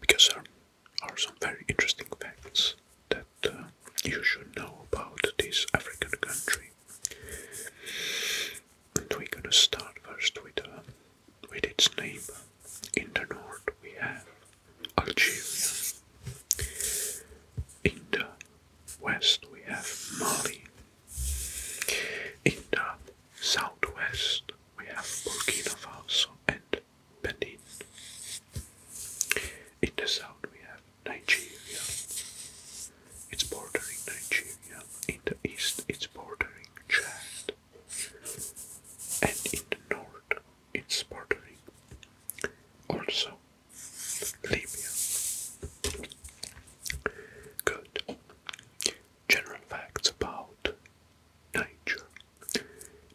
because there are some very interesting facts that uh, you should know about this African country. And we're gonna start first with uh, with its neighbor. In the north we have Algeria. In the west we have Mali. In the southwest we have Burkina Faso and Benin. In the south we have Nigeria. It's bordering Nigeria. In the east it's bordering Chad. And in the north it's bordering also Libya. Good general facts about Niger.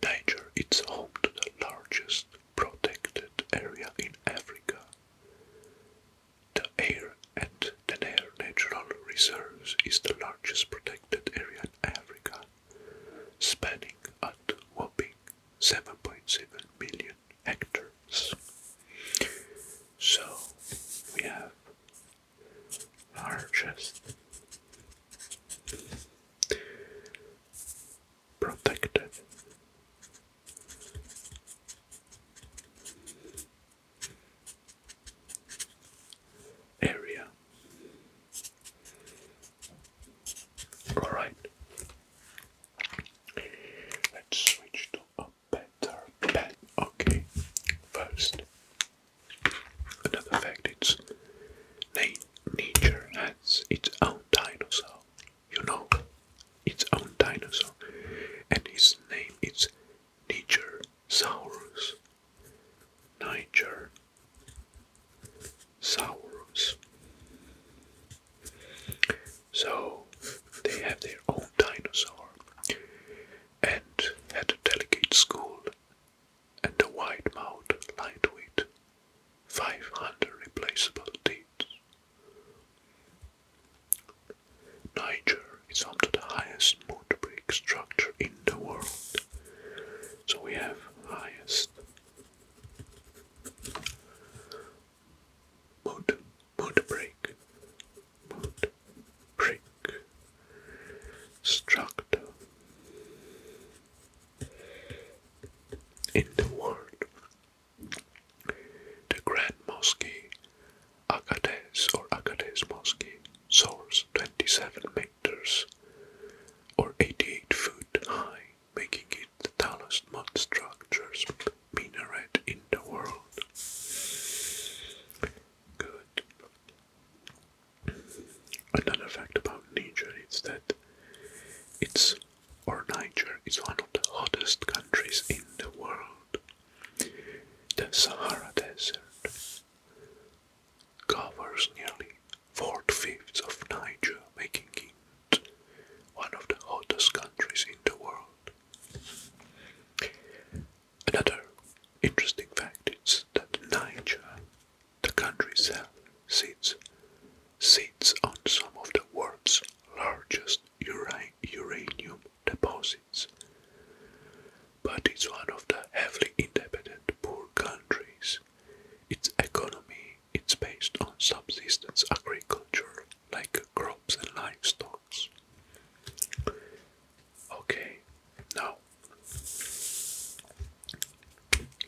Niger is home to the largest protected area in Africa. The air and the air natural reserves is the largest protected area in Africa, spanning at whopping 7.7 million hectares. So we have our Protected. Area. All right. Let's switch to better pet. Okay, first, another fact it's nature has its own dinosaur. You know, its own dinosaur, and its name is Nature Saurus. Nature Saurus. So they have their own dinosaur and had a delegate school, and a wide mouth, lightweight, 500 replaceable teeth. Niger is home to the highest mud brick structure in the world, so we have highest mud mud break, mud break, structure in the world. The Grand Mosque, Agadez or Agadez Mosque, soars 27 meters or 88 foot high, making it the tallest mud structures minaret in the world good. Another fact about Niger is that it's or Niger is one of the hottest countries in the world. The Sahara Desert covers nearly four-fifths of Niger, making it one of the hottest countries in the world. Another interesting fact is that Niger, the country itself, sits, sits on some of the world's largest uranium deposits, but it's one of the heavily independent poor countries. Its economy is based on subsistence agriculture like crops and livestock. Okay, now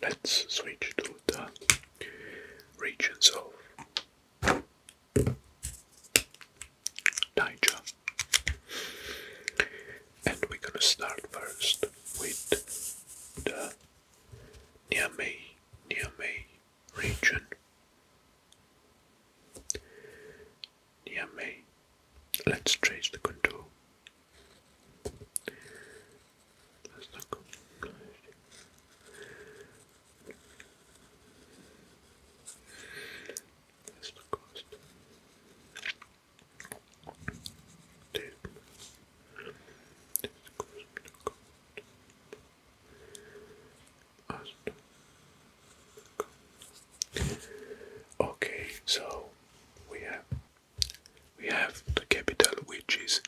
let's switch to the regions of Niger. And we're gonna start first with the Niamey, Niamey region Near me, let's trace the contour. That's not good. That's the cost. Okay, so we have we have the capital which is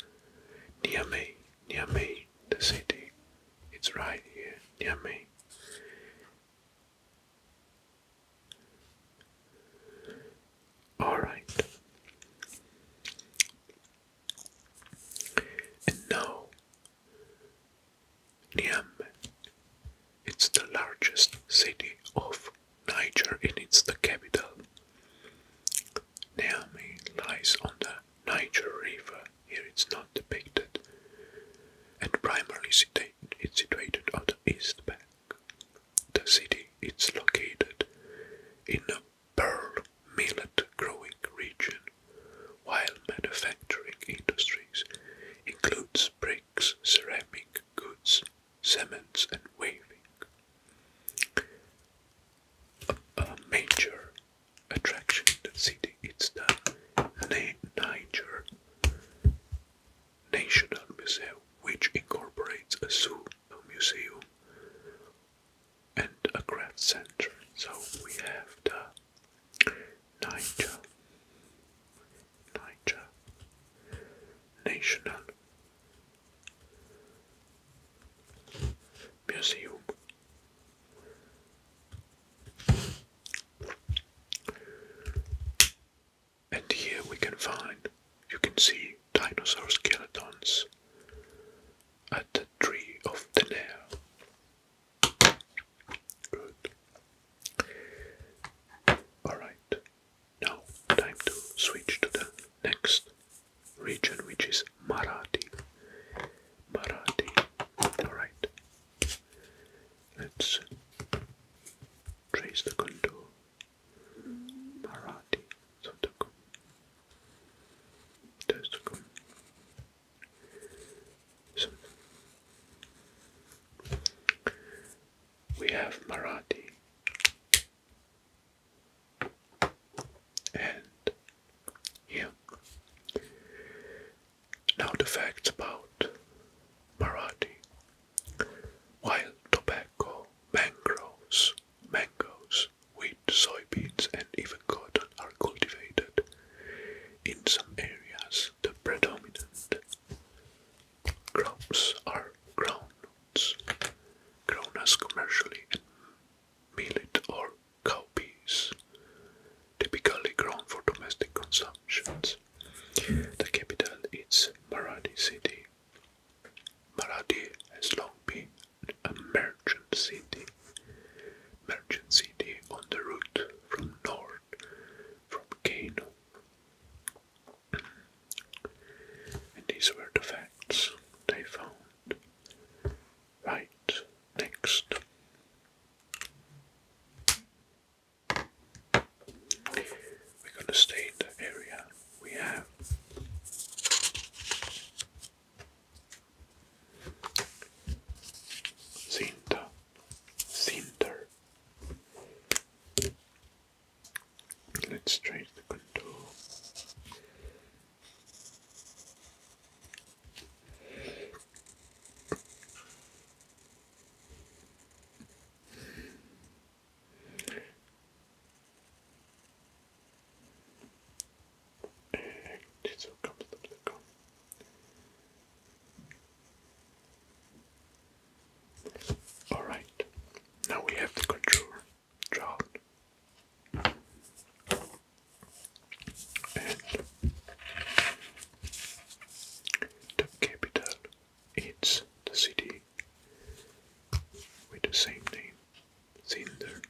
Niamey. Niamey, the city. It's right here, Niamey. All right. And now Niamey. It's the largest city of Niger and it's the capital. Niamey lies on the Niger River. Here it's not depicted. And primarily it's situated on the east bank. The city is located in a pearl millet growing region while manufacturing industries includes bricks, ceramic goods, cements and weaving. A, a major attraction in the city is the Niger National Museum, which incorporates a zoo, a museum, and a craft center. So we have the Niger, Niger National Museum. And here we can find, you can see dinosaur skeletons at the tree of the nail Good. Alright, now time to switch to the next region, which is Marathi. Marathi. Alright. Let's trace the contour. Marathi. So the There's the so, we have Marathi and yeah. Now the facts about Marathi. Wild tobacco, mangroves, mangoes, wheat, soybeans, and even cotton are cultivated. In some areas, the predominant crops are groundnuts, grown as commercially, and millet or cowpeas, typically grown for domestic consumptions. The capital is Maradi city. Maradi has long been a merchant city. Merchant city on the route from north from Kano. And these were the facts they found. Right next. We're going to stay in the area we have. Cinta, cinder. Let's trace the contour. And Alright, now we have the contour drawn. And the capital is the city with the same name cinder.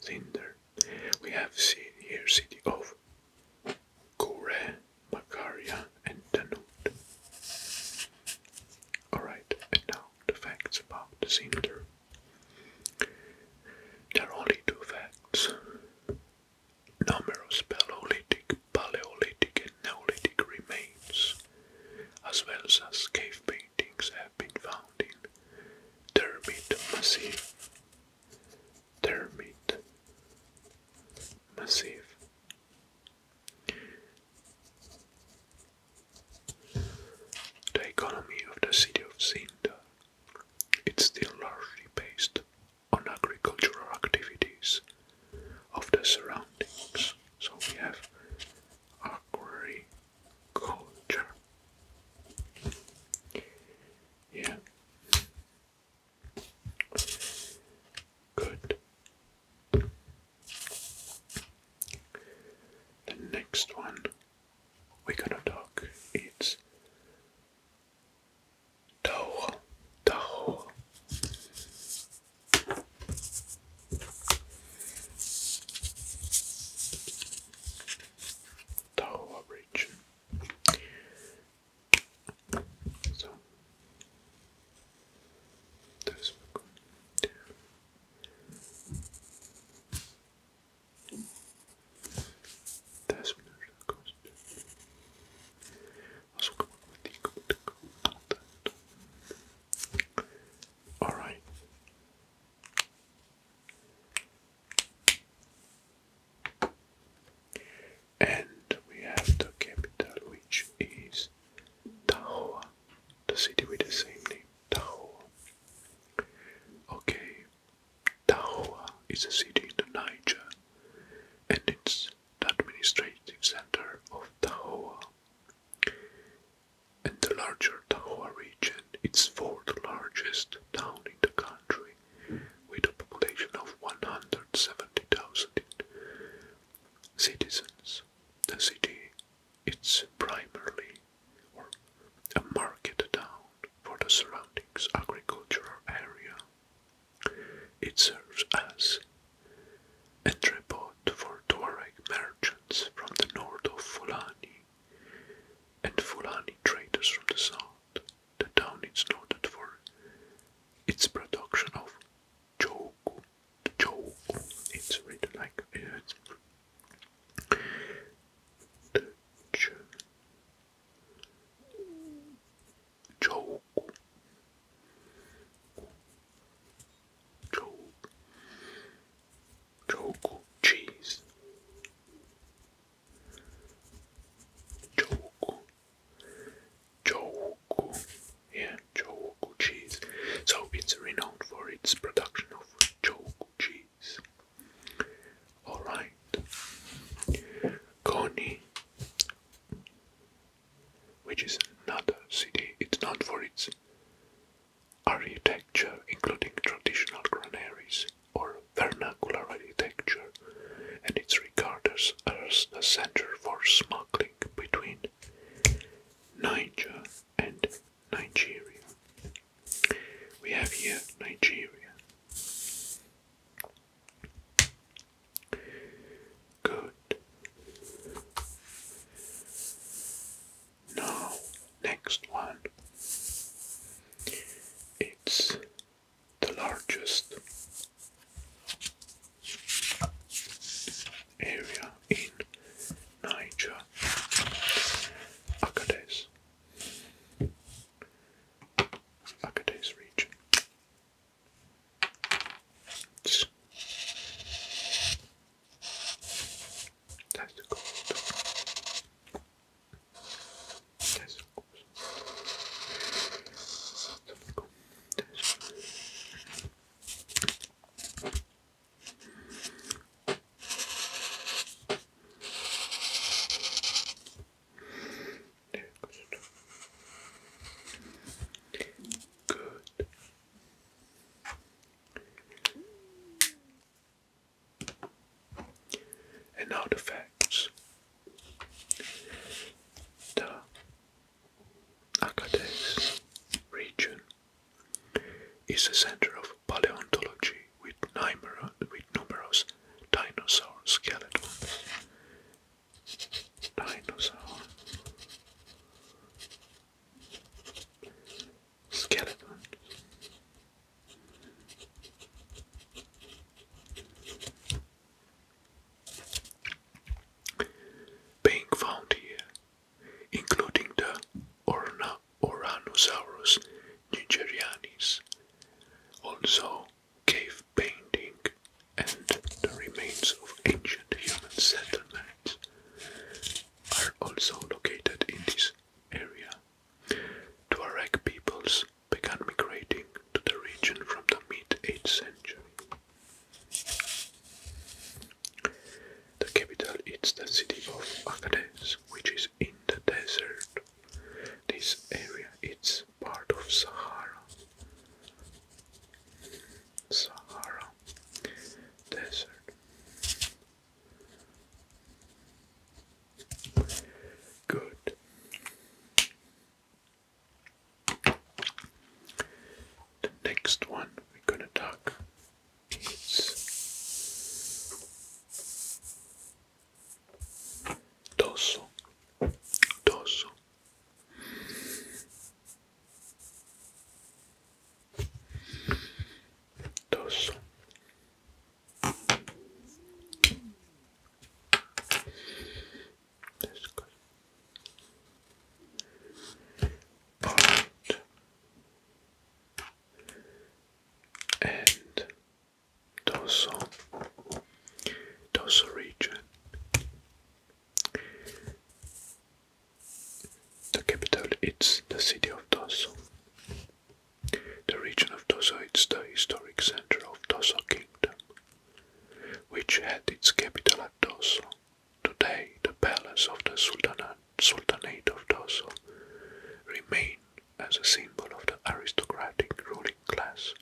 Cinder. We have seen here city of Kure, Makaria, and Tanut. Alright, and now the facts about the cinder. There are only two facts. Numerous Paleolithic, Paleolithic, and Neolithic remains as well as cave paintings have been found in Termit Massif. Termit Massif. The economy of the city of Sinda is still largely based on agricultural activities of the surroundings. So we have aquarii culture. Yeah. Good. The next one we're gonna talk is Tao. Tao. Tower Bridge. So this will That's when it goes to also come up with the all right. And we have the capital, which is Tahoe, the city with the same name, Tahoe. Okay, Tahoe is a city in the Niger, and it's the administrative center of Tahoe and the larger Tahua region, it's fourth largest town in the country, with a population of 170,000 citizens. The city is primarily a market town for the surrounding agricultural area. It serves as a tripod for Tuareg merchants from the north of Fulani, and Fulani traders from the south. The town is noted for its production of choku. Choku, it's written like uh, it's the ch choku. Choke. Choco cheese. Choco. Choco. Yeah, Choco cheese. So it's renowned for its production of Choco cheese. Alright. Connie which is not a city. It's known for its architecture, including traditional granaries or vernacular architecture, and it's regarded as a center for smuggling between Nigeria and Nigeria. We have here Nigeria. Good. Now, next one. It's the largest area in Niger, Agadez, Agadez region. That's the That's the That's cold. That's cold. Good. And now the facts. The Acades region is the center of paleontology with numerous dinosaur skeletons Dinosaur. Skeleton. Being found here, including the Orna Oranosaurus nigerianis, also cave painting and the remains of ancient human settlements are also located in this area. Tuareg peoples began migrating to the region from the mid-8th century. The capital is the city of Agadez, which is in the desert. This area is part of Sahara. Sahara Desert. Good. The next one we're going to talk is Tosso. Tosso. Dos. That's and dorsal, dorsal region, the capital is the city of Tosso. The region of Tosso is the historic center of Tosso Kingdom, which had its capital at Tosso. Today, the palace of the Sultanate of Tosso remain as a symbol of the aristocratic ruling class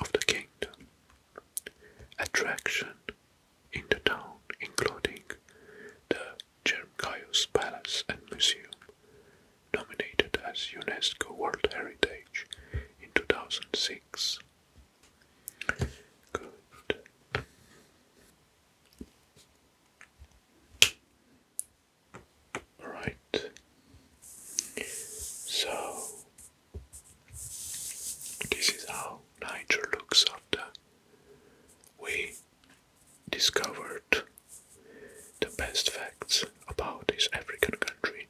of the kingdom attraction in the town, including the Germkaios Palace and Museum, nominated as UNESCO World Heritage in 2006. Good. So this is how Niger looks after we discovered the best facts about this African country,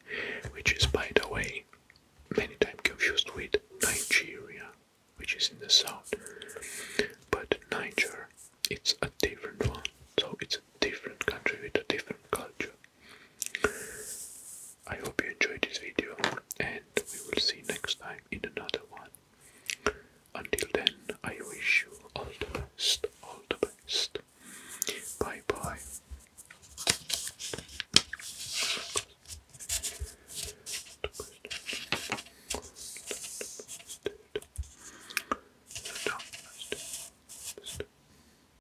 which is, by the way, many times confused with Nigeria, which is in the south. But Niger, it's a different one, so it's a different country with a different culture. I hope you enjoyed this video and we will see you next time in another one. Until then, I wish you all the best, all the best. Bye bye.